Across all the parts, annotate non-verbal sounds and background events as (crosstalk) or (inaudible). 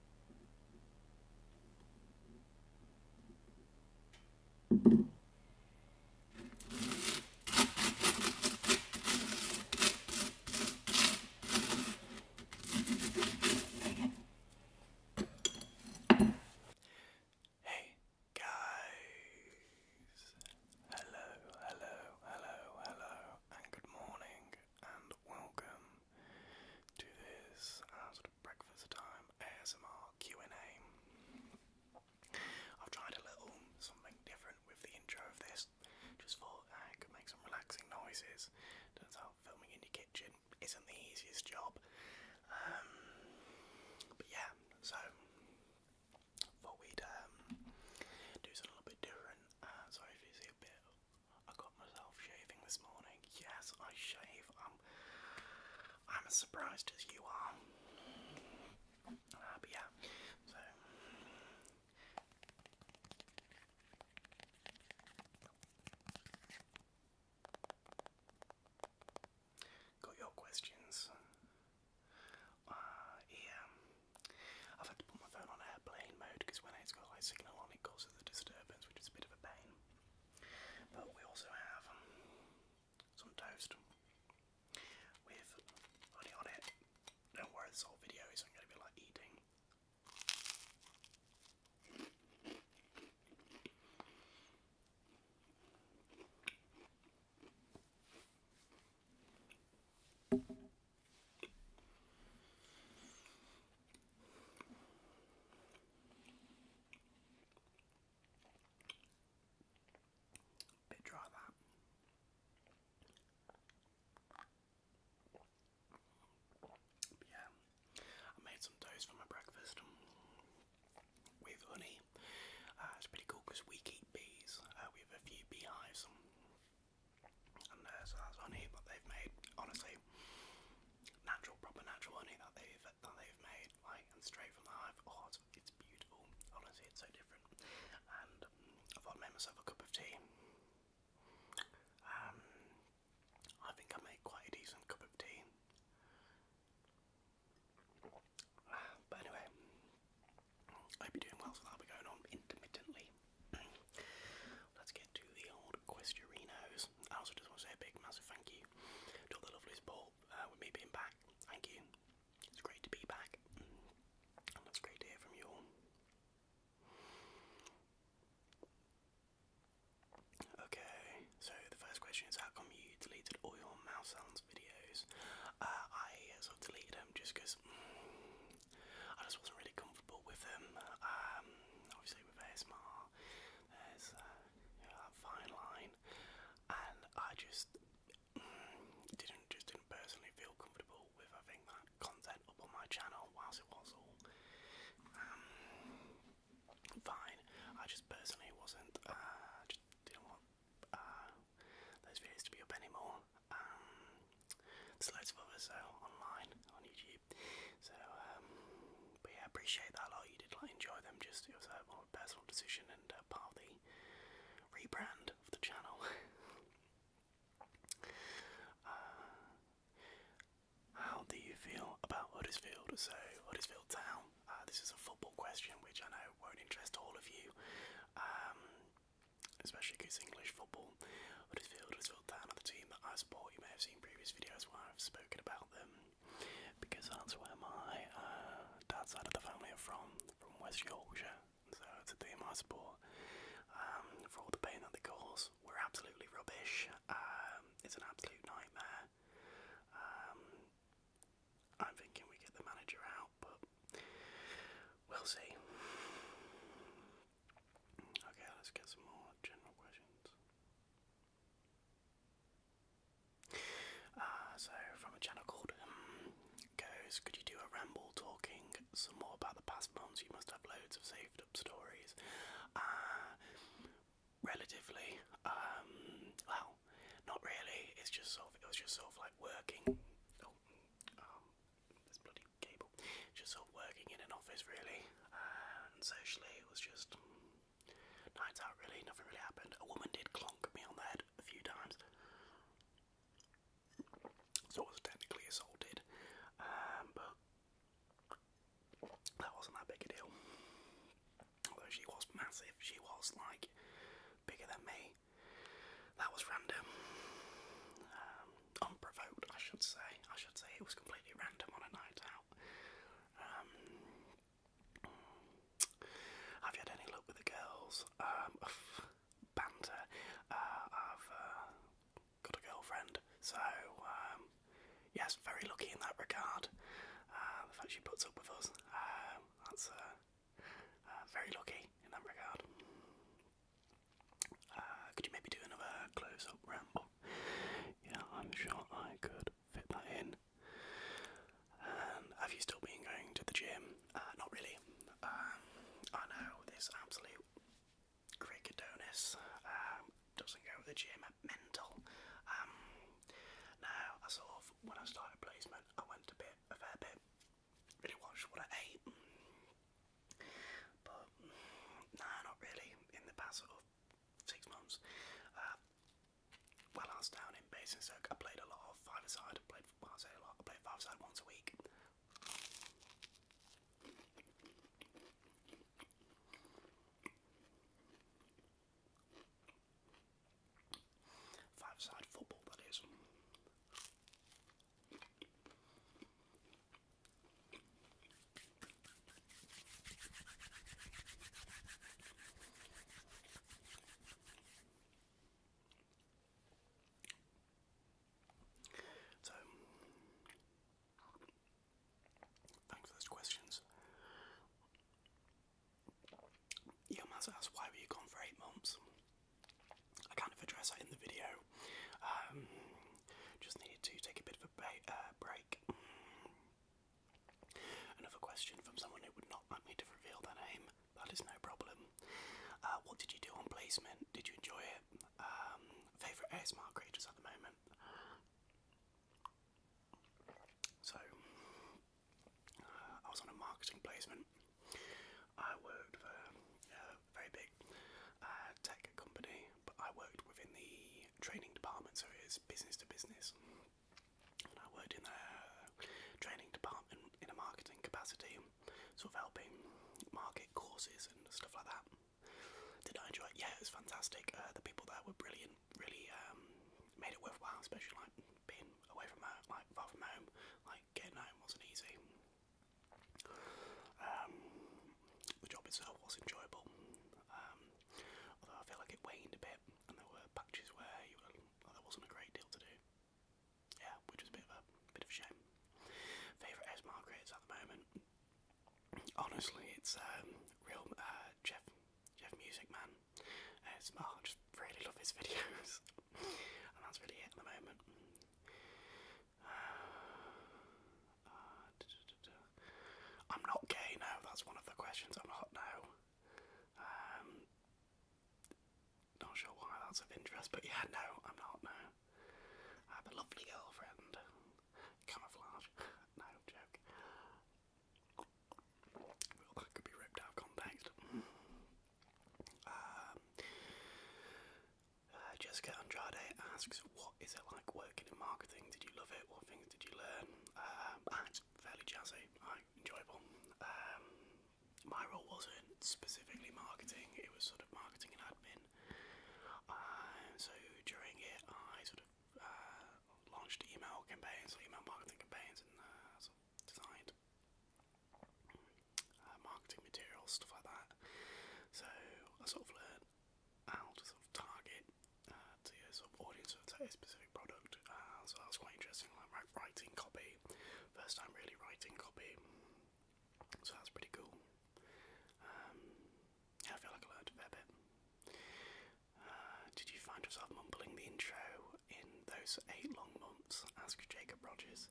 Hey guys, hello, hello, hello, hello, and good morning, and welcome do this uh, sort of breakfast time ASMR Q&A. I've tried a little something different with the intro of this. Just thought uh, I could make some relaxing noises. Turns out filming in your kitchen isn't the easiest job. Um, but yeah, so thought we'd um, do something a little bit different. Uh, sorry if you a bit I got myself shaving this morning. Yes, I shave. I'm, I'm as surprised as you are. Uh, but yeah, so. Got your questions. Uh, yeah. I've had to put my phone on airplane mode because when it's got like signal on, it goes the disturbance, which is a bit of a pain. But we also have um, some toast with honey on it. Don't this whole video isn't going to be like eating. Bit dry that. yeah, I made some toast for my breakfast with honey. Uh, it's pretty cool because we keep bees. Uh, we have a few beehives and so that's honey that they've made. Honestly, natural, proper natural honey that they've that they've made, like and straight from the hive. Oh, it's, beautiful. Honestly, it's so different. And I thought I made myself a cup of tea. Um, I think I made quite a decent cup of tea. (sighs) But anyway, I hope you doing well. So that'll be going on intermittently Let's get to the old Questurinos. I also just want to say a big, massive thank you to the lovely support uh, with me being back. Thank you. It's great to be back, it's great to hear from you Okay, so the first question is how come you deleted all your mouse sounds videos? Uh, I sort of deleted them just because I just wasn't really comfortable with them. Um, obviously, with ASMR, there's uh, that fine line, and I just mm, didn't just didn't personally feel comfortable with having that content up on my channel. Whilst it was all um, fine, I just personally wasn't. Uh, just didn't want uh, those videos to be up anymore. Um, there's loads of others uh, online on YouTube. So, um, but yeah, appreciate that a lot. You did like enjoy them. Just it uh, personal decision and uh, part of the rebrand of the channel. (laughs) Uh, how do you feel about Huddersfield? So Huddersfield Town. this is a football question, which I know won't interest all of you. Um, especially because English football. Huddersfield, Huddersfield Town are team that I support. You may have seen previous videos where I've spoken about them because that's where my uh, dad's side of the family are from, from West Yorkshire. So it's a team I support. Um, for all the pain that they cause, we're absolutely rubbish. Um, it's an absolute nightmare. Um, I'm thinking we get the manager out, but we'll see. Okay, let's get some more general questions. Uh, so, from a channel called um, Goes, could you do a ramble talking some more about the past months? You must have loads of saved up stories. Uh, relatively, um, well, not really. It's just sort of, it was just sort of like working. Oh, um, this bloody cable just sort of working in an office really and socially it was just nights out really nothing really happened a woman did clonk me on the head a few times so I was technically assaulted um, but that wasn't that big a deal although she was massive she was like bigger than me that was random um, unprovoked, I should say. I should say it was completely random on a night out. Um, have you had any luck with the girls? Um, (sighs) banter. Uh, I've uh, got a girlfriend, so um, yes, very lucky in that regard. Uh, the fact she puts up with us, that's very lucky in that regard. Uh, could you maybe do another close up ramble? Yeah, I'm sure I could fit that in. have you still been going to the gym? Uh, not really. Um, I know this absolute Cricodonis um, doesn't go to the gym, mental. Um, now, I sort of, when I started placement, I went a bit, a fair bit, really watched what I ate. But nah, not really. In the past of six months, uh, while I down in Basingstoke, I played a lot of five-a-side. I say I played five-a-side once a week. Five-side football, that is. So, thanks for those questions. Yilmaz asks, why were you gone for eight months? I kind of address that in the video. Um, just needed to take a bit of a uh, break. Another question from someone who would not like me to reveal their name. That is no problem. Uh, what did you do on placement? Did you enjoy it? Um, Favourite ASMR creators at the moment? So, uh, I was on a marketing placement. I worked for very big uh, tech company, but I worked within the training department, so it is business to business. And I worked in the training department in a marketing capacity, sort of helping market courses and stuff like that. Did I enjoy it? Yeah, it was fantastic. Uh, the people there were brilliant, really um, made it worthwhile, especially like being away from home, like far from home, like getting home wasn't easy. Um, the job itself was enjoyable, um, although I feel like it waned a bit, and there were patches where you were, well, oh, there wasn't a great deal to do. Yeah, which was a bit of a bit of a shame. Favorite ASMR grades at the moment. Honestly, it's um, real uh, Jeff Jeff Music Man. ASMR. Uh, I just really love his (laughs) videos that's really it at the moment. (sighs) I'm not gay now, that's one of the questions. I'm not now. Um, not sure why that's of interest, but yeah, no, I'm not now. I have a lovely girlfriend. Camouflage. (laughs) no, joke. that could be ripped out of context. Um, uh, Jessica Andrade asks, "What is it like working in marketing? Did you love it? What things did you learn?" Um, it's fairly jazzy, right, enjoyable. Um, my role wasn't specifically marketing; it was sort of marketing and admin. Uh, so during it, I sort of uh, launched email campaigns, email marketing campaigns, and uh, designed uh, marketing materials, stuff like that. So I sort of learned how to sort of target uh, to sort of audience of a specific product. Uh, so that was quite interesting, like writing copy, first time really writing copy. So that's pretty cool. Um, yeah, I feel like I learned a fair bit. did you find yourself mumbling the intro in those eight long months? Asked Jacob Rogers.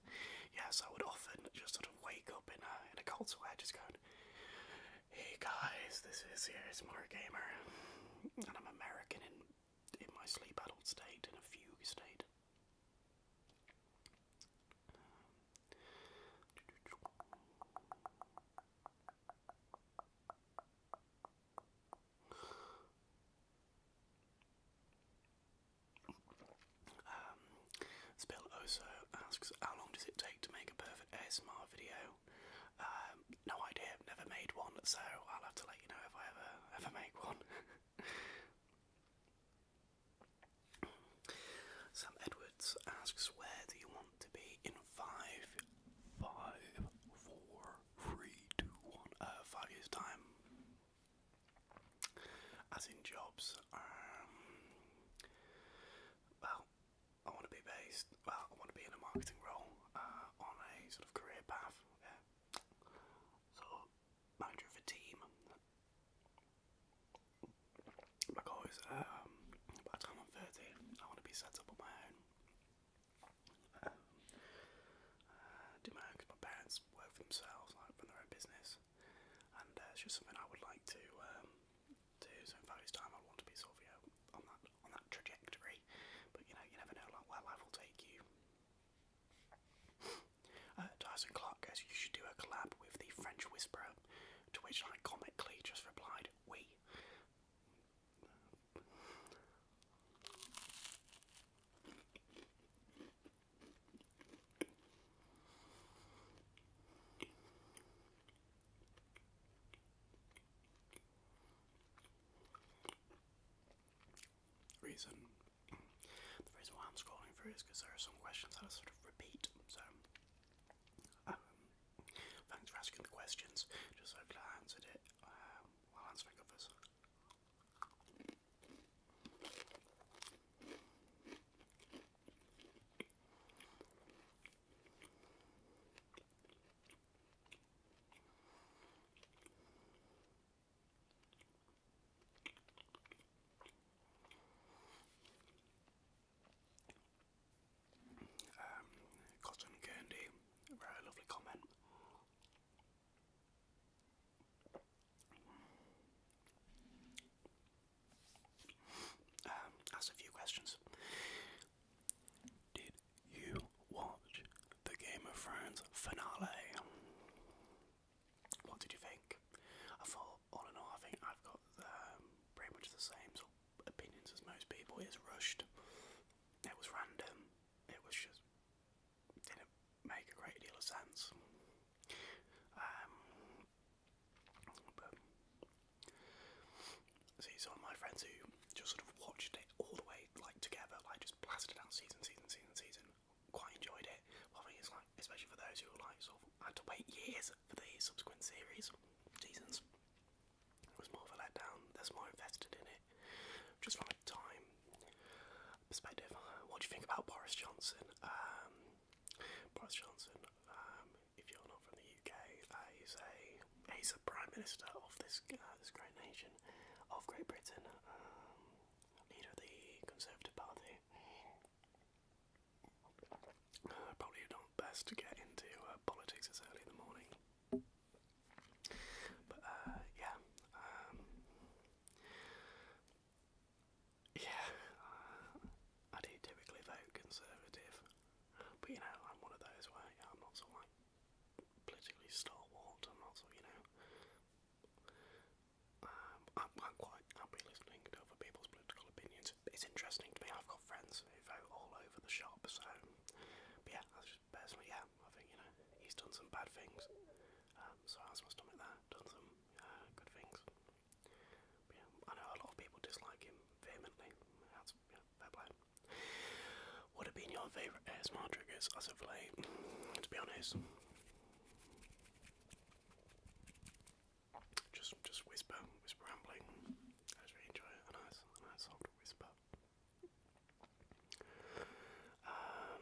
Yes, I would often just sort of wake up in a in a cold sweat, just going, "Hey guys, this is here's Mar Gamer, and I'm American in in my sleep adult state, in a fugue state." Um, this asks, how long does it take to make a perfect ASMR video? Um, no idea, never made one, so I'll have to let you know if I ever ever make one. (laughs) Sam Edwards asks, where do you want to be in five, five, four, three, two, one, uh, five years time? As in jobs, um, well, I want to be based, well, I want to be in a marketing role uh, on a sort of career path, yeah. So, manager of a team. Because um, by the time I'm 30, I want to be set up on my own. Um, uh, do my own because my parents work for themselves, like run their own business and uh, it's just something I would like to um, do. So in five years' time, I'd want to be sort of you know on that on that trajectory. But you know, you never know like where life will take you. uh, Tyson Clark goes, "You should do a collab with the French Whisperer," to which I comically just replied, "We." Oui. Reason the reason why I'm scrolling through is because there are some questions that sort of repeat. So um, thanks for asking the questions. Just hopefully I answered it um, while answering others. Um, Cotton Candy, very lovely comment. Um, ask a few questions. Did you watch the Game of Thrones finale? What did you think? I thought, all in all, I think I've got um, pretty much the same opinions as most people. It's rushed. It was random. It was just make a great deal of sense. Um, but see, some of my friends who just sort of watched it all the way, like together, like just blasted out season, season, season, season, quite enjoyed it. Well, I think it's like, especially for those who like sort of had to wait years for the subsequent series seasons. It was more of a letdown. There's more invested in it, just from a time perspective. Uh, what do you think about Boris Johnson? Um, Boris Johnson, um, if you're not from the UK, uh, he's a he's a prime minister of this uh, this great nation of Great Britain, um, leader of the Conservative Party. probably not best to get into politics as early in the morning. But yeah, um, yeah, uh, I do typically vote Conservative, but you know, I'm one of those where yeah, I'm not so like politically stalwart, I'm not so, you know. Um, I'm, I'm quite happy listening to other people's political opinions. It's interesting to me, I've got friends who vote all over the shop, so. But yeah, that's just personally, yeah, I think, you know, he's done some bad things. Um, so that's my stomach there, done some uh, good things. yeah, I know a lot of people dislike him vehemently. That's yeah, fair play. What have been your favourite ASMR triggers as of late? To be honest, just just whisper, whisper rambling. I just really enjoy it. A nice, a nice soft whisper. Um,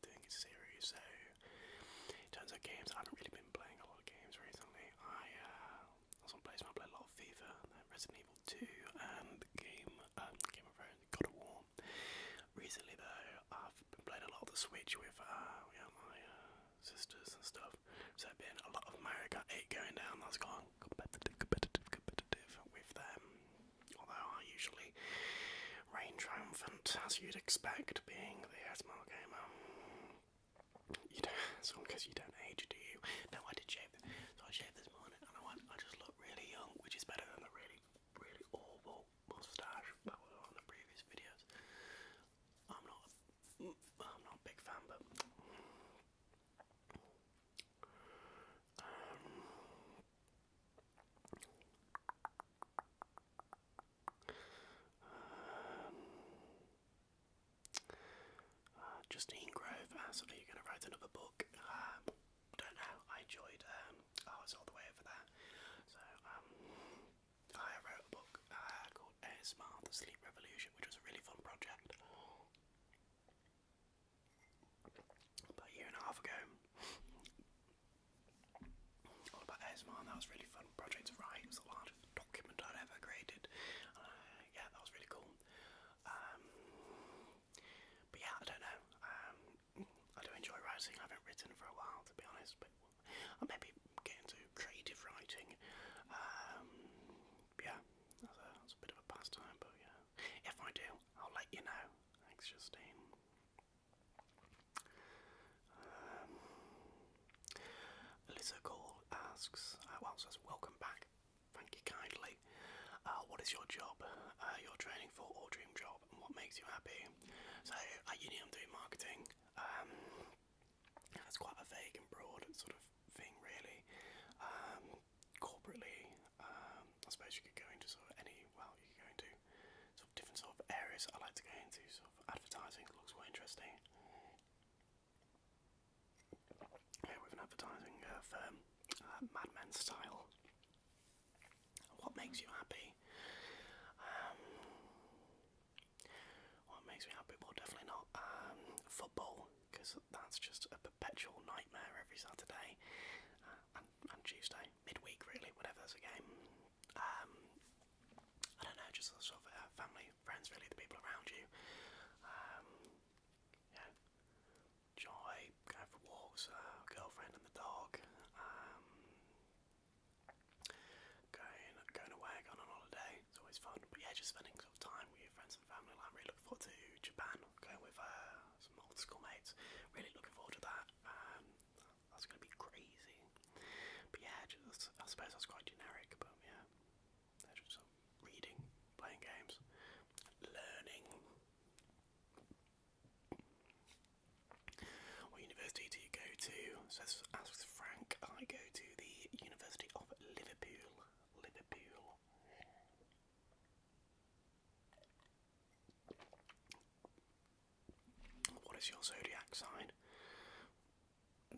good thing is series. So, in terms of games, I haven't really been playing a lot of games recently. I uh, was on PlayStation, I play a lot of FIFA, and Resident Evil 2, and Game, um, Game of Thrones, God of War. Recently, though, I've been playing a lot of the Switch with uh, yeah, my uh, sisters and stuff. So, been a lot of Mario Kart 8 going down. That's gone competitive, competitive, competitive with them. Although I usually reign triumphant, as you'd expect, being the ASMR gamer. You don't, it's because you don't age, do you? No, I did shave. So I shaved this morning, and I went, I just look really young, which is better than the really, really awful mustache that was on the previous videos. I'm not, mm, I'm not a big fan, but. Um, um, uh, Justine Grove, uh, you're going to write another book. Um, don't know. I enjoyed. Um, oh, all the way over there. So um, I wrote a book uh, called ASMR: The Sleep Revolution, which was a really fun project. About a year and a half ago, all about ASMR, that was really fun project to write. the largest document i ever created. Uh, yeah, that was really cool. Um, but yeah, I don't know. Um, I do enjoy writing. I haven't written for a while, to be honest, but I'll maybe getting into creative writing. Um, yeah, that's a bit of a pastime, but yeah. If I do, I'll let you know. Thanks, Justine. Um, asks, uh, welcome back. Thank you kindly. Uh, what is your job uh, your training for or dream job and what makes you happy? So at uni I'm doing marketing. Um, that's quite a vague and broad sort of thing really. Um, corporately, um, I suppose you could go into sort of any, well you could go into sort different sort of areas I like to go into. So advertising looks quite interesting. Yeah, with an advertising uh, firm, uh, madman style. What makes you happy? Um, what makes me happy? Well, definitely not um, football, because that's just a perpetual nightmare every Saturday. Uh, on and Tuesday, midweek really, whatever there's a game. Um, I don't know, just sort of uh, family, friends, really, the people around you. Um, yeah, joy, going for walks, uh, girlfriend and the dog. Um, going, going away, going on holiday. It's always fun. But yeah, just spending sort of time with your friends and family. Like, really looking forward to Japan. Going with uh, some old school mates. Really looking forward to that that's gonna be crazy. But yeah, just, I suppose that's quite generic. But yeah, just reading, playing games, learning. What university do you go to? Says asks Frank. I go to the University of Liverpool. Liverpool. What is your zodiac sign?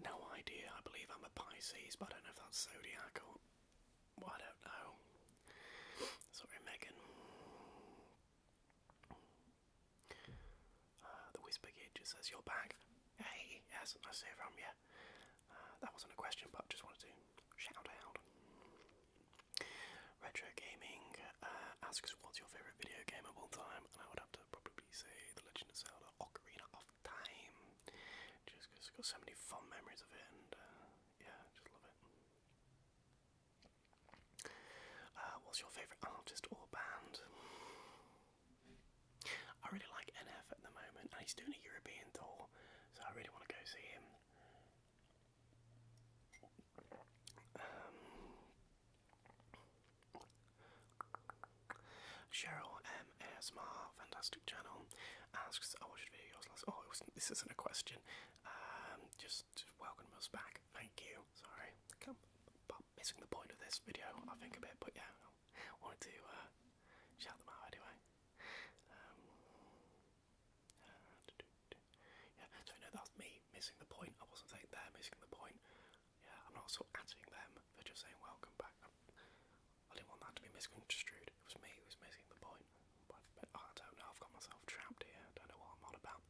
No idea. I believe I'm a Pisces, but I don't know if that's zodiac or. Well, I don't know. Sorry, Megan. Uh, the Whisper Kid says, You're back. Hey, yes, nice to hear from you. Uh, that wasn't a question, but just wanted to shout out. Retro Gaming uh, asks, what's your favourite video game of all time? And I would have to probably say The Legend of Zelda Ocarina of Time. Just because I've got so many fond memories of it and uh, yeah, just love it. Uh, what's your favourite artist or band? I really like NF at the moment and he's doing a European tour, so I really want to go see him. Um, Cheryl M. fantastic channel, asks, I watched videos last. Oh, oh this isn't a question. Um, just, welcome us back. Thank you. Sorry, I missing the point of this video, I think a bit. But yeah, wanted to uh, shout them out anyway. Um, yeah, so I know that me missing the point. I wasn't saying missing the point. Yeah, I'm not sort of them. They're just saying welcome back. I'm, I did not want that to be misconstrued. It was me who was missing the point. But, I don't know. I've got myself trapped here. I don't know what I'm on about.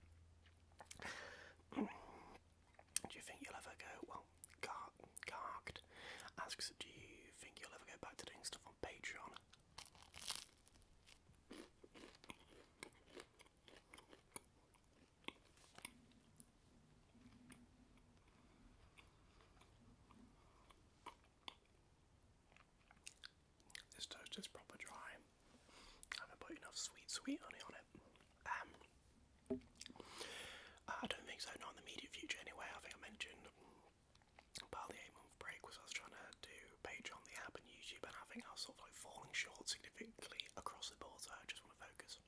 do you think you'll ever go? Well, Garked asks, do you think you'll ever go back to doing stuff on Patreon? This toast is proper dry. I haven't put enough sweet, sweet honey on it. Um, I don't think so, not in the immediate future anyway. I think I mentioned mm, Barley eh, break was I was trying to do page the app and YouTube, and I I sort of like falling short significantly across the board. So I just want to focus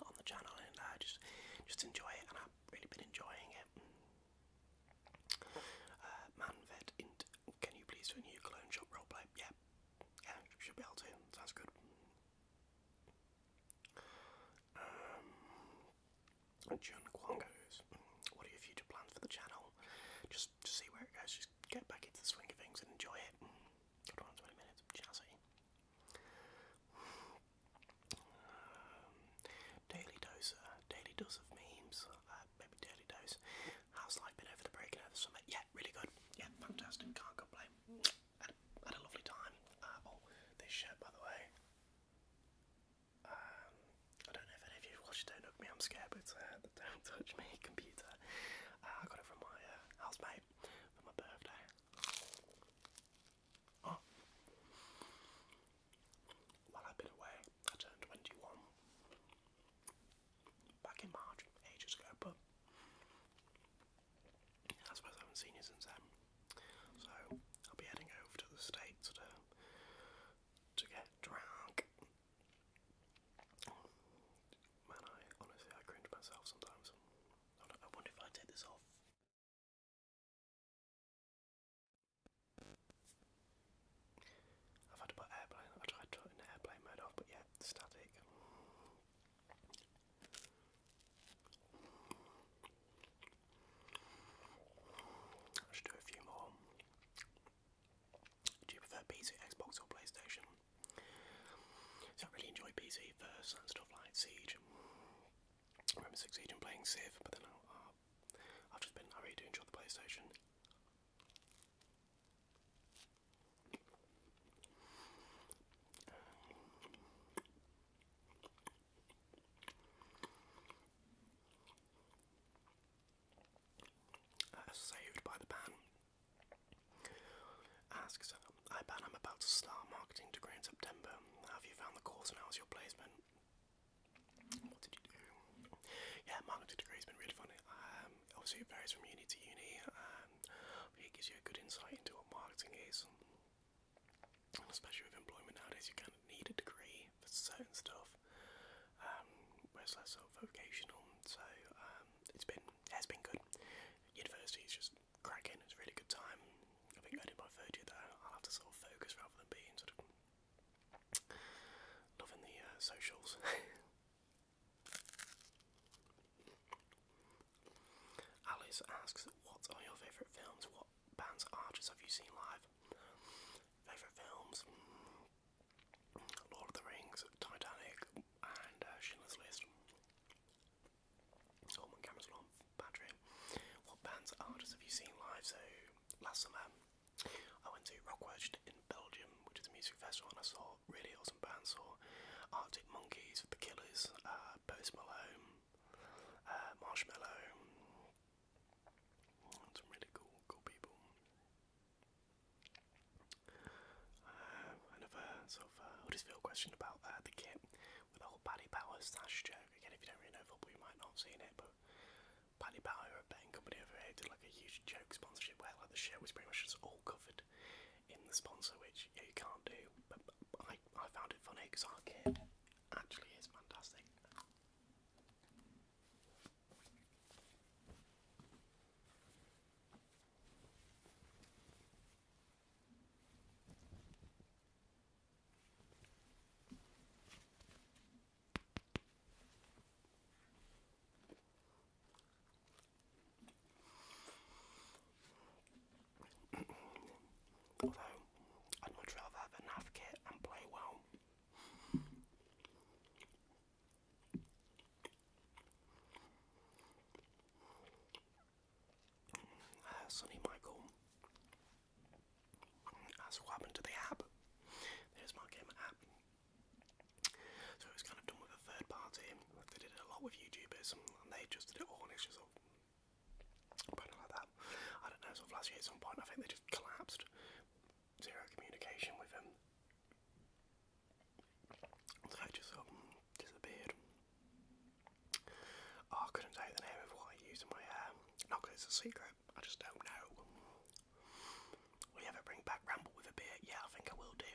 on the channel and uh, just just enjoy it, and I've really been enjoying it. Uh, Manvet, can you please do a new clone shop roleplay? Yeah, yeah, should be able to. Sounds good. Um, John Kwang what are your future plans for the channel? Just just, see where it goes. Just get back into the swing of things and enjoy it. 20 minutes, shall um, daily dose, uh, daily dose of memes. Uh, maybe daily dose. How's life been over the break and over the summer? Yeah, really good. Yeah, fantastic. Can't complain. Had a, lovely time. Uh, oh, this shirt, by the way. Um, I don't know if any of watched Don't Look Me, I'm scared, but uh, Don't Touch Me (laughs) computer. Uh, I got it from my uh, housemate for my birthday. Oh. While I've been away, I turned 21 back in March, ages ago, but I suppose I haven't seen you since then. So I'll be heading over to the States to to get drunk. Man, I honestly I cringe myself sometimes. I, wonder if I take this off. I've had to put airplane. I tried to airplane mode off, but yeah, static. I do a few more. Do you prefer PC, Xbox, or PlayStation? So I really enjoy PC first and stuff like Siege. remember Siege and playing Civ, but then I've just been, I really do enjoy the PlayStation. Uh, saved by the ban asks, I ban I'm about to start marketing degree in September. Have you found the course and how's your placement? What did you do? Yeah, marketing degree has been really funny. Um, obviously, it varies from uni to uni, and um, it gives you a good insight into what marketing is. especially with employment nowadays, you kind of need a degree for certain stuff. Um, whereas that's sort of vocational. So um, it's been has been good. University is just cracking. It's really good time. I think I did my third year there. I'll have to sort of focus rather than being sort of loving the uh, socials. (laughs) Alice asks, "What are your favourite films? What bands, artists have you seen live?" Favorite films: mm. Lord of the Rings, Titanic, and uh, Schindler's List. Oh, my camera's on battery. What bands artists have you seen live? So last summer, I went to Rockwedge in Belgium, which is a music festival, and I saw really awesome bands. Saw Arctic Monkeys, The Killers, uh, Post Malone, uh, Marshmallow. Some really cool, cool people. Uh, another sort of uh, Huddersfield question about uh, the kit with the Paddy Power slash joke. Again, if you don't really know football, you might not have seen it, but Paddy Power, a betting company over here, did like a huge joke sponsorship where like the shirt was pretty much just all covered in the sponsor, which you can't do. But, I, I found it funny because our kit actually is fantastic. Although I'd much rather have a kit and play well uh, Michael asks ah, what happened the app. There's my gamer app. So it was kind of done with a third party. they did it a lot with YouTubers and they just did it all and it's just all kind of like that. I don't know, sort last year at some point, I think they just collapsed. Zero communication with him. So just mm, disappeared. Oh, I couldn't tell the name of what I use in my hair. Um, not it's a secret, I just don't know. Will ever bring back Ramble with a beer? Yeah, I think I will do.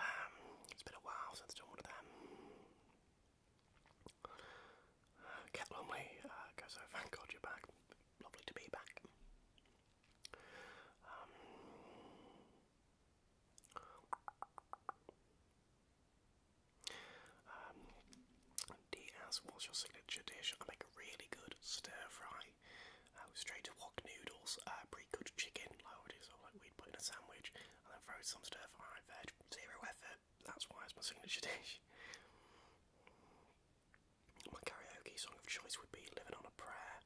Um, it's been a while since i one of them. Cat Lumley uh, goes thank God you're back. Lovely to be back. Um, um, Diaz, what's your signature dish? I make really good stir fry uh, with straight to wok noodles, uh, pre cooked chicken, like, what it is, or like we'd put in a sandwich, and then throw some stir fry veg, zero effort that's why it's my signature dish. My karaoke song of choice would be Living on a Prayer.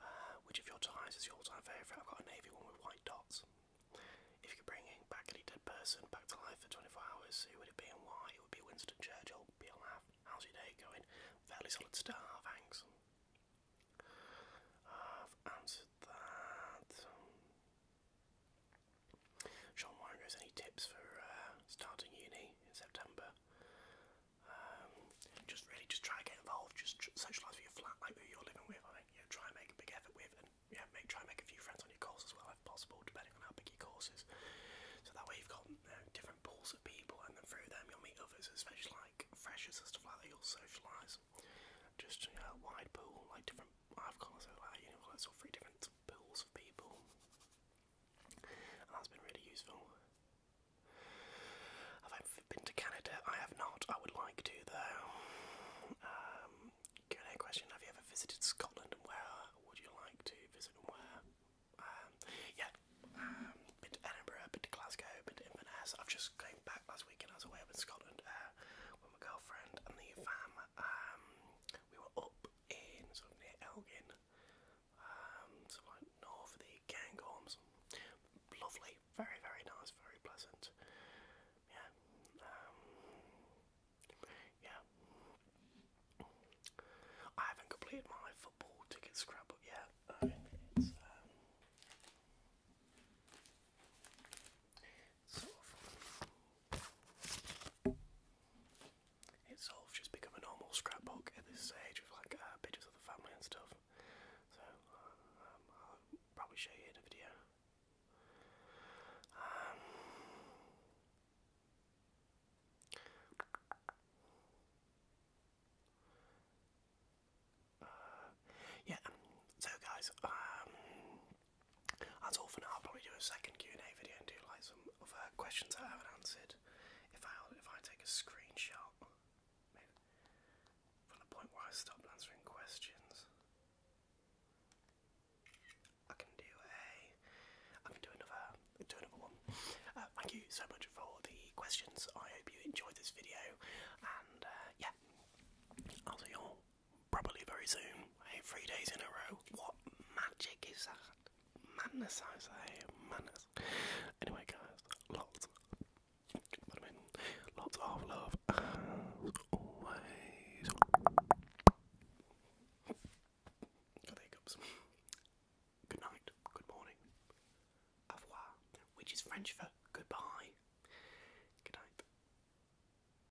Uh, which of your ties is your all time favourite? I've got a navy one with white dots. If you could bring back any dead person back to life for 24 hours, who would it be and why? It would be Winston Churchill. Be on laugh. How's your day going? Fairly solid star, thanks. I've answered that. Sean Warren goes, any tips for uh, starting uni in September? Um, just really just try to get involved, just socialise with your flat, like who you're living with, I think, you know, try and make a big effort with and yeah, make, try and make a few friends on your course as well if possible, depending on how big your course is. So that way you've got you know, different pools of people and then through them you'll meet others, especially like freshers and stuff like that, you'll socialise. Just you know, a wide pool, like different, I've got so like, you know, like sort of three different pools of people, that's been really useful. Have I been to Canada? I have not. I would like to though. Um, Q&A question: Have you ever visited Scotland, where would you like to visit, where? Um, yeah, um, been to Edinburgh, been to Glasgow, been to Inverness. I've just came back last weekend. I was away up in Scotland uh, with my girlfriend and the fam. Um, we were up in sort of near Elgin, um, so like north of the Gangorms. Lovely, very very nice, very pleasant. Yeah, um, yeah. I haven't completed my football ticket scrapbook yet. It's all just become a normal scrapbook at this stage of like uh, pictures of the family and stuff. So um, I'll probably show you in a video. Um, uh, yeah, so guys, um, that's all for now. I'll probably do a second Q and A video and do like some other questions I haven't answered. If I if I take a screenshot from the point where I stopped answering questions, I can do a I can do another do another one. Uh, thank you so much for the questions. I hope you enjoyed this video, and uh, yeah, I'll see you all probably very soon. three days in a row. What magic is that? Madness, I say. Madness. Anyway, guys, lots. I mean, lots of love always. Got Good morning. Au revoir, which is French for goodbye. Good